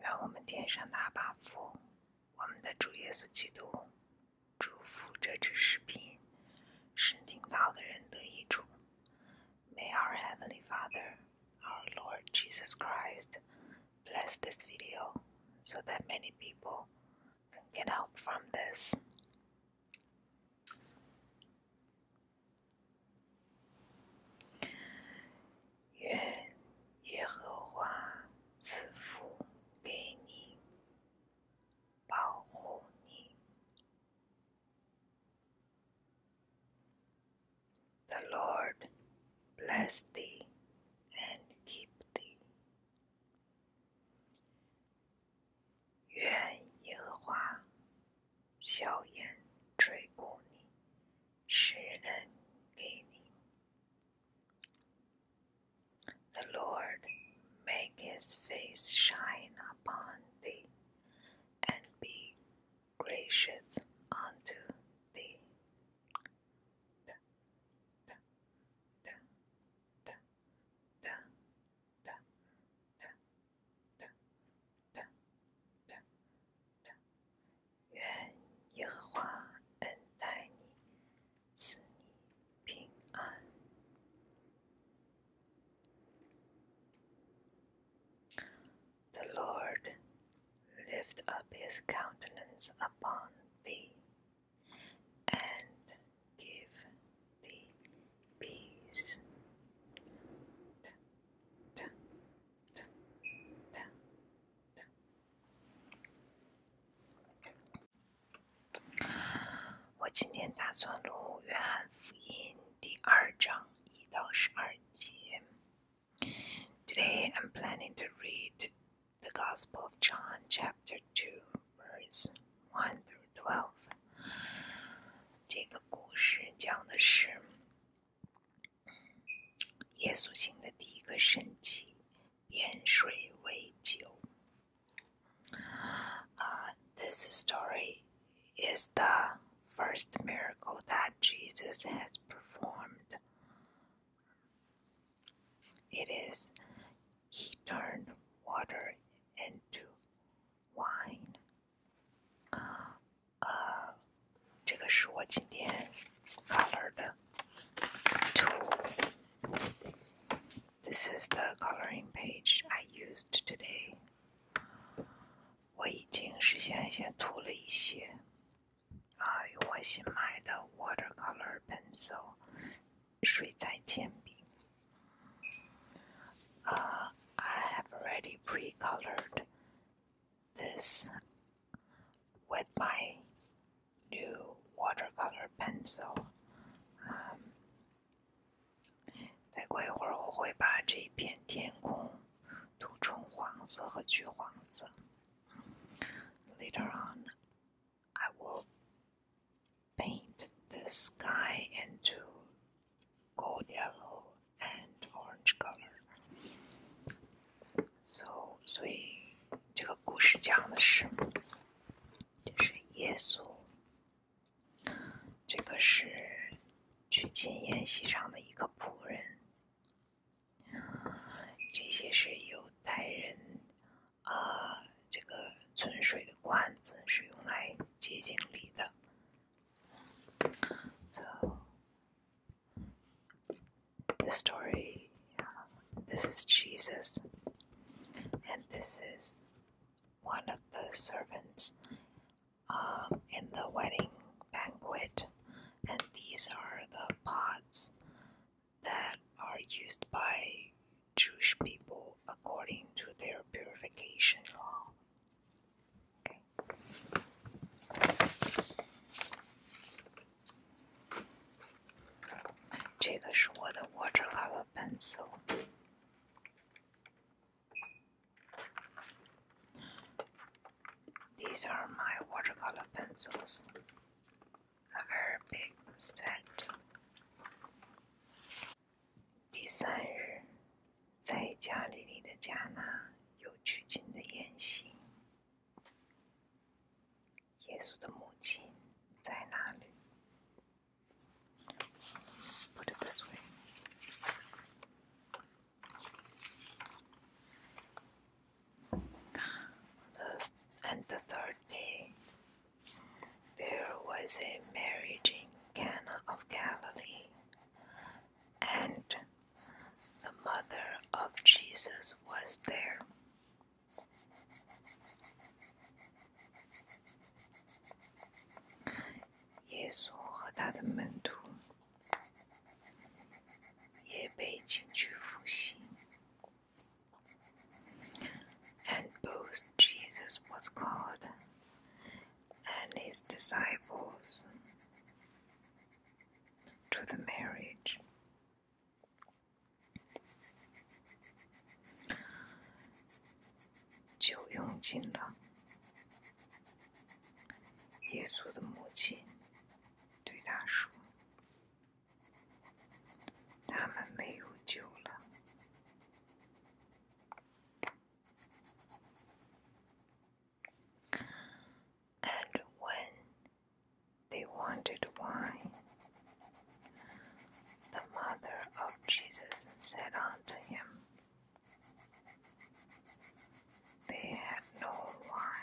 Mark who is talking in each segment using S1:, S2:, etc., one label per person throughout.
S1: 愿我们天上的阿爸父，我们的主耶稣基督，祝福这支视频，使听到的人得益处。May our Heavenly Father, our Lord Jesus Christ, bless this video so that many people can get help from this. 愿耶和华赐福给你，保护你。The Lord bless thee and keep thee. 愿耶和华硝烟吹过你，使恩给你。The Lord make his face shine upon thee, and be gracious unto thee. 愿耶和华恩待你，赐你平安。The Lord lift up his countenance upon thee and give thee peace. 我今天打算录《约翰福音》第二章一到十二节。Today I'm planning to read the Gospel of John, chapter two, verse one through twelve. 这个故事讲的是耶稣行的第一个神迹，变水为酒。Uh, this story is the first miracle that Jesus has performed. It is, he turned water into wine. 呃，这个是我今天 color 的 tool。This is the coloring page I used today. 我已经事先先涂了一些，啊，用我新买的 watercolor pencil I have already pre-colored this with my new watercolor pencil. pencil。嗯，再过一会儿我会把这一片天空涂成黄色和橘黄色。Later um, on, I will paint the sky into gold yellow and orange color。So，所以这个故事讲的是，就是耶稣，这个是娶亲宴席上的一个仆人。这些是犹太人啊、呃，这个存水的罐子是用来接近礼的。so, the story um, this is Jesus, and this is one of the servants um, in the wedding banquet, and these are the pots that are used by Jewish people according to their purification law. Okay. watercolor pencil. These are my watercolor pencils. A very big set. 第三日，在加利利的加拿有举行的宴席，耶稣的母亲在那里。Put it this way. And the third day, there was a marriage in Cana of Galilee, and the mother of Jesus was there. And both Jesus was called and his disciples to the marriage. Jiu Yong Jin 耶稣的母亲对他说：“他们没有救了。” And when they wanted wine, the mother of Jesus said unto him, They have no wine.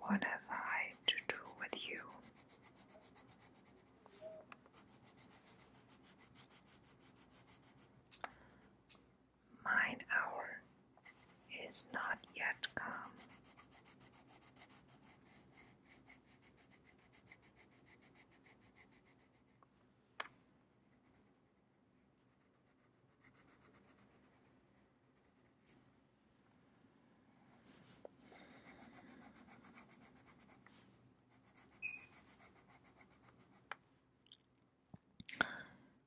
S1: What have I to do with you? Mine hour is not yet come.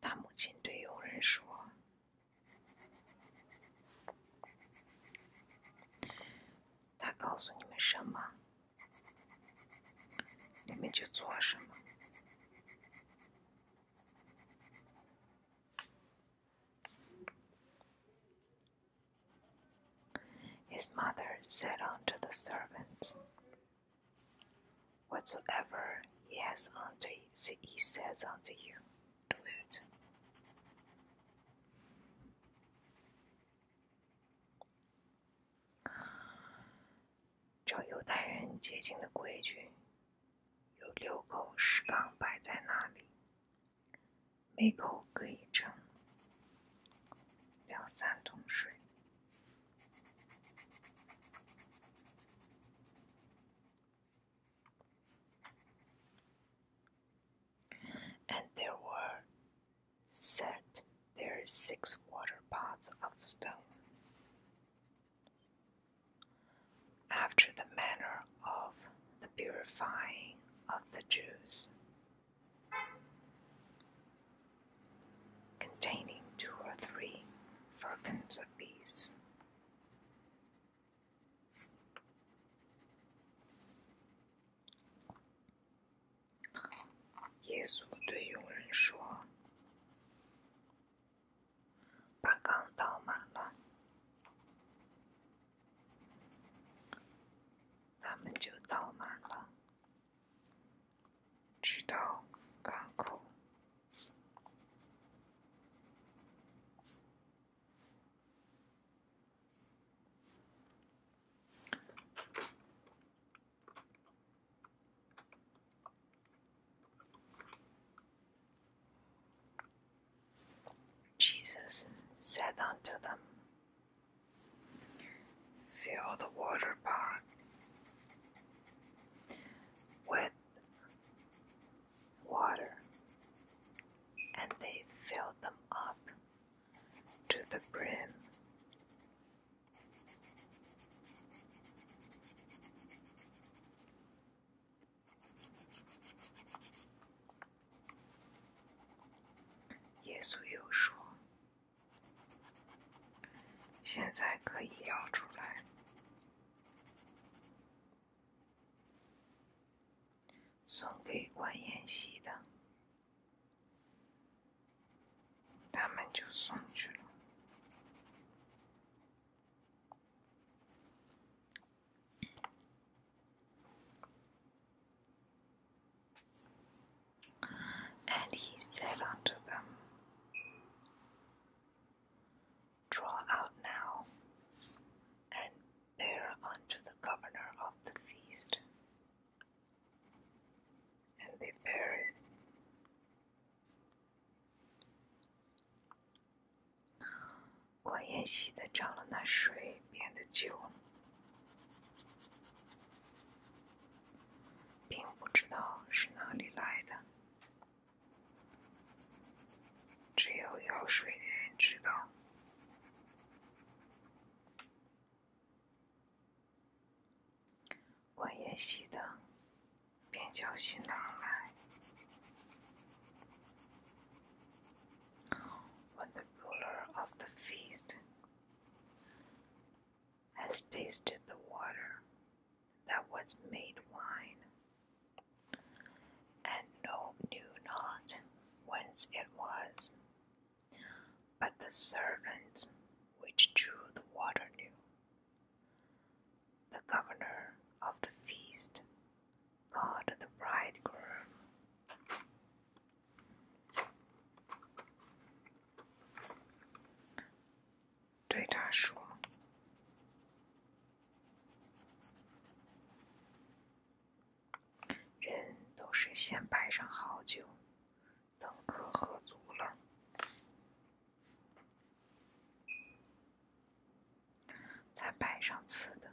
S1: 他母亲对佣人说：“他告诉你们什么，你们就做什么。” His mother said unto the servants, Whatsoever he has unto you, he says unto you, do it. 照犹太人洁净的规矩，有六口石缸摆在那里，每口各一张两三桶水。And there were set there six water pots of stone after the manner of the purifying of the Jews, containing two or three firkins apiece. 咱们就到哪了，直到港口。Jesus said unto them, Fill the water pot with water, and they filled them up to the brim. 耶稣又说：“现在可以要出来，送给管筵席的，他们就送去了。” And he said unto them, Draw out now, and bear unto the governor of the feast. And they bare it. 管延熙的涨了那水边的酒，并不知道是哪里来的，只有舀水的人知道。管延席的便叫新郎来。When the ruler of the feast has tasted the water that was made wine, and no knew not whence it was, but the servants which drew the water knew. The governor of the feast God the bridegroom 对他说，人都是先摆上好酒，等客喝足了。才摆上刺的，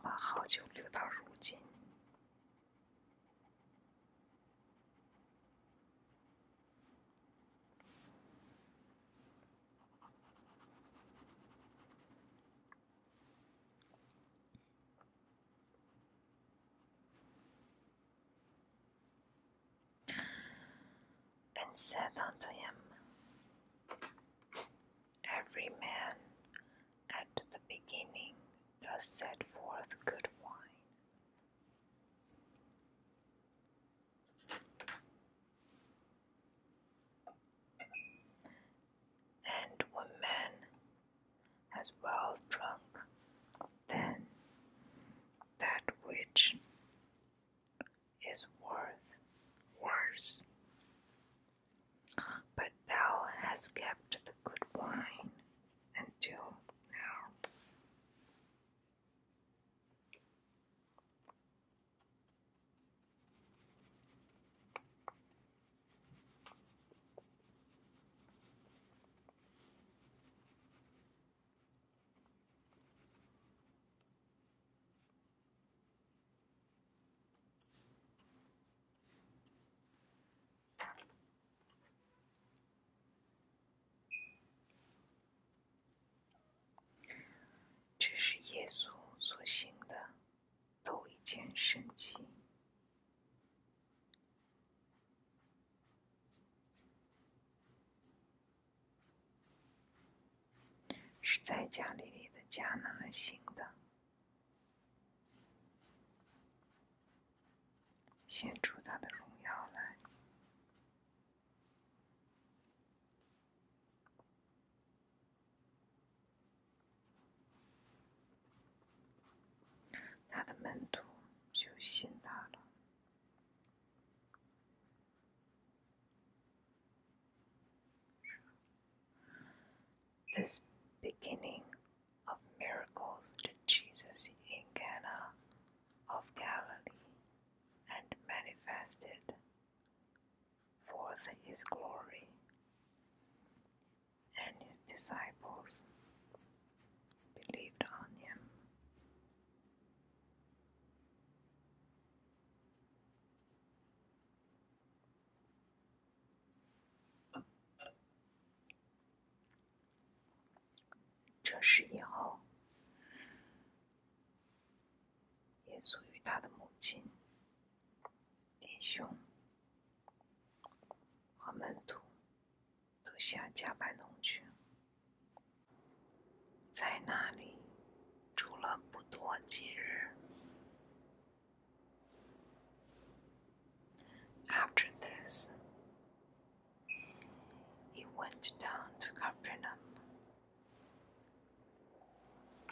S1: 把好酒留到如今。and said unto him, Every man at the beginning does set forth good wine. And when man has well drunk, then that which is worth worse. But thou hast kept the good wine until now. 这是耶稣所行的头一件神迹。是在家里里的迦拿行的，献出他的荣耀来，他的门徒就信他了。This beginning of miracles did Jesus in Cana of Galilee and manifested forth his glory, and his disciples 被勒的安妮。这事以后，耶稣与他的母亲、弟兄和门徒。After this, he went down to Capernaum.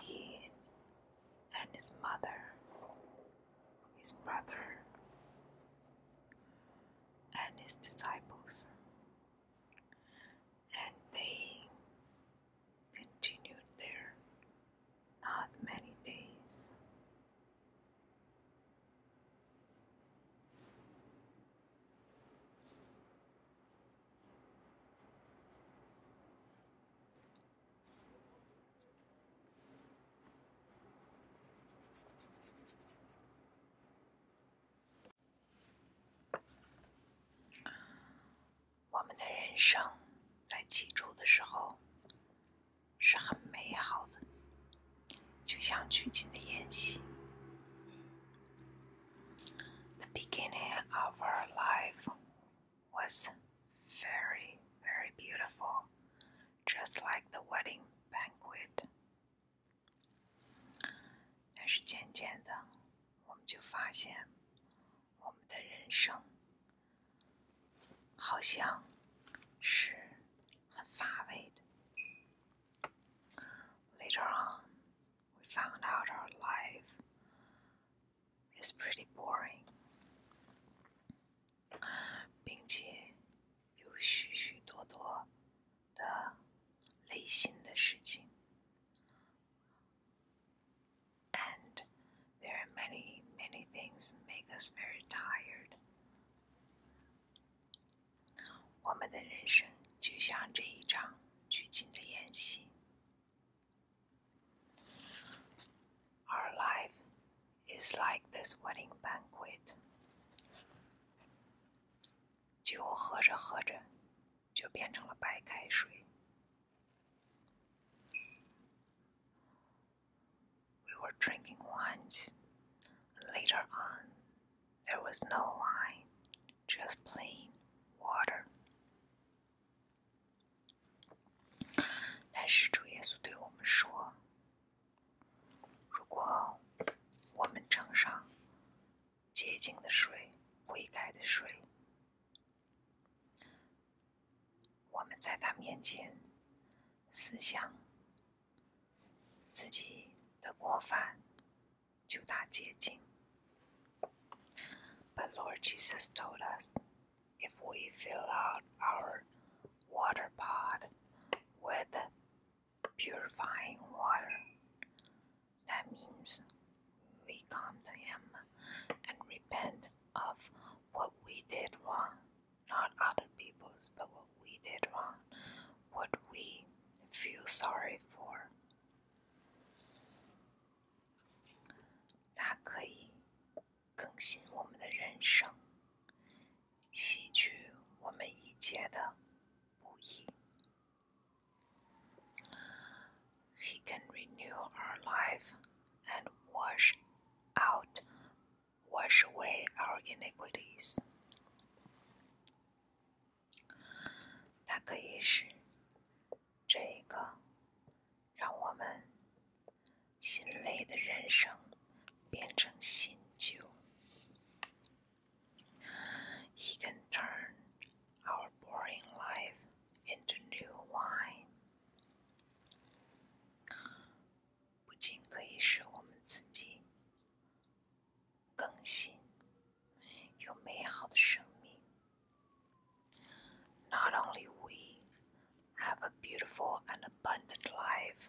S1: He and his mother, his brother, and his disciples, and they continued there not many days. The beginning of our life was very, very beautiful, just like the wedding banquet 但是渐渐的，我们就发现，我们的人生好像是很乏味的。Later on, we found out our life is pretty boring，并且有许许多多的内心的事情，and there are many many things make us very tired。我们的人生就像这一场剧情的演戏，our life。It's like this wedding banquet。酒喝着喝着就变成了白开水。We were drinking wines. Later on, there was no wine, just plain water. 如果我们尝上洁净的水、悔改的水，我们在他面前思想自己的过犯，就大洁净。But Lord Jesus told us if we fill out our water pot with purifying water. That means we come to Him and repent of what we did wrong, not other people's, but what we did wrong, what we feel sorry for. 它可以更新我们的人生，he can renew our life and wash out, wash away our iniquities. 它可以使这一个让我们心累的人生变成新旧。He can turn our boring life into new wine。不仅可以使我们自己更新，有美好的生命。Not only we have a beautiful and abundant life。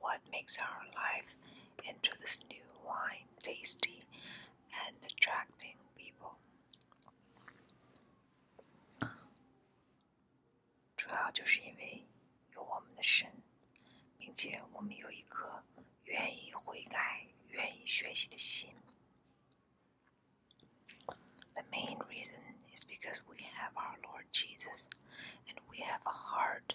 S1: what makes our life into this new wine tasty and attracting people. 主要就是因为有我们的神，并且我们有一颗愿意悔改、愿意学习的心。The main reason is because we have our Lord Jesus and we have a heart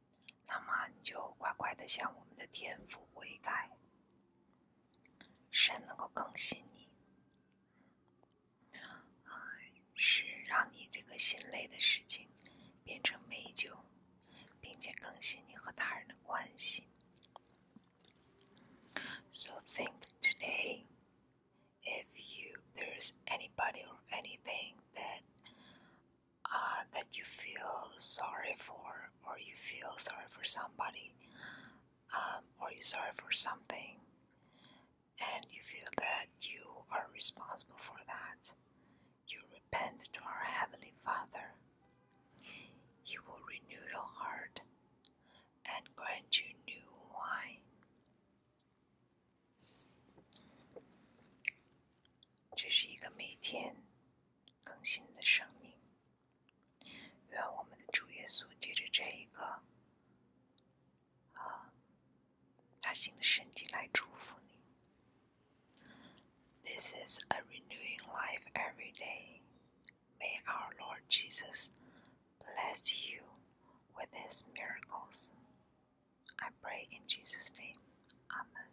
S1: 那么就快快的向我们的天父悔改，神能够更新你，啊，是让你这个心累的事情变成美酒，并且更新你和他人的关系。So think today if you there's anybody or anything that uh, that you feel sorry for, or you feel sorry for somebody, um, or you're sorry for something, and you feel that you are responsible for that, you repent to our Heavenly Father. He will renew your heart and grant you new wine. 这是一个每天更新的生命。愿我们的主耶稣借着这一个啊，他新的身体来祝福你。This is a renewing life every day. May our Lord Jesus bless you with His miracles. I pray in Jesus' name. Amen.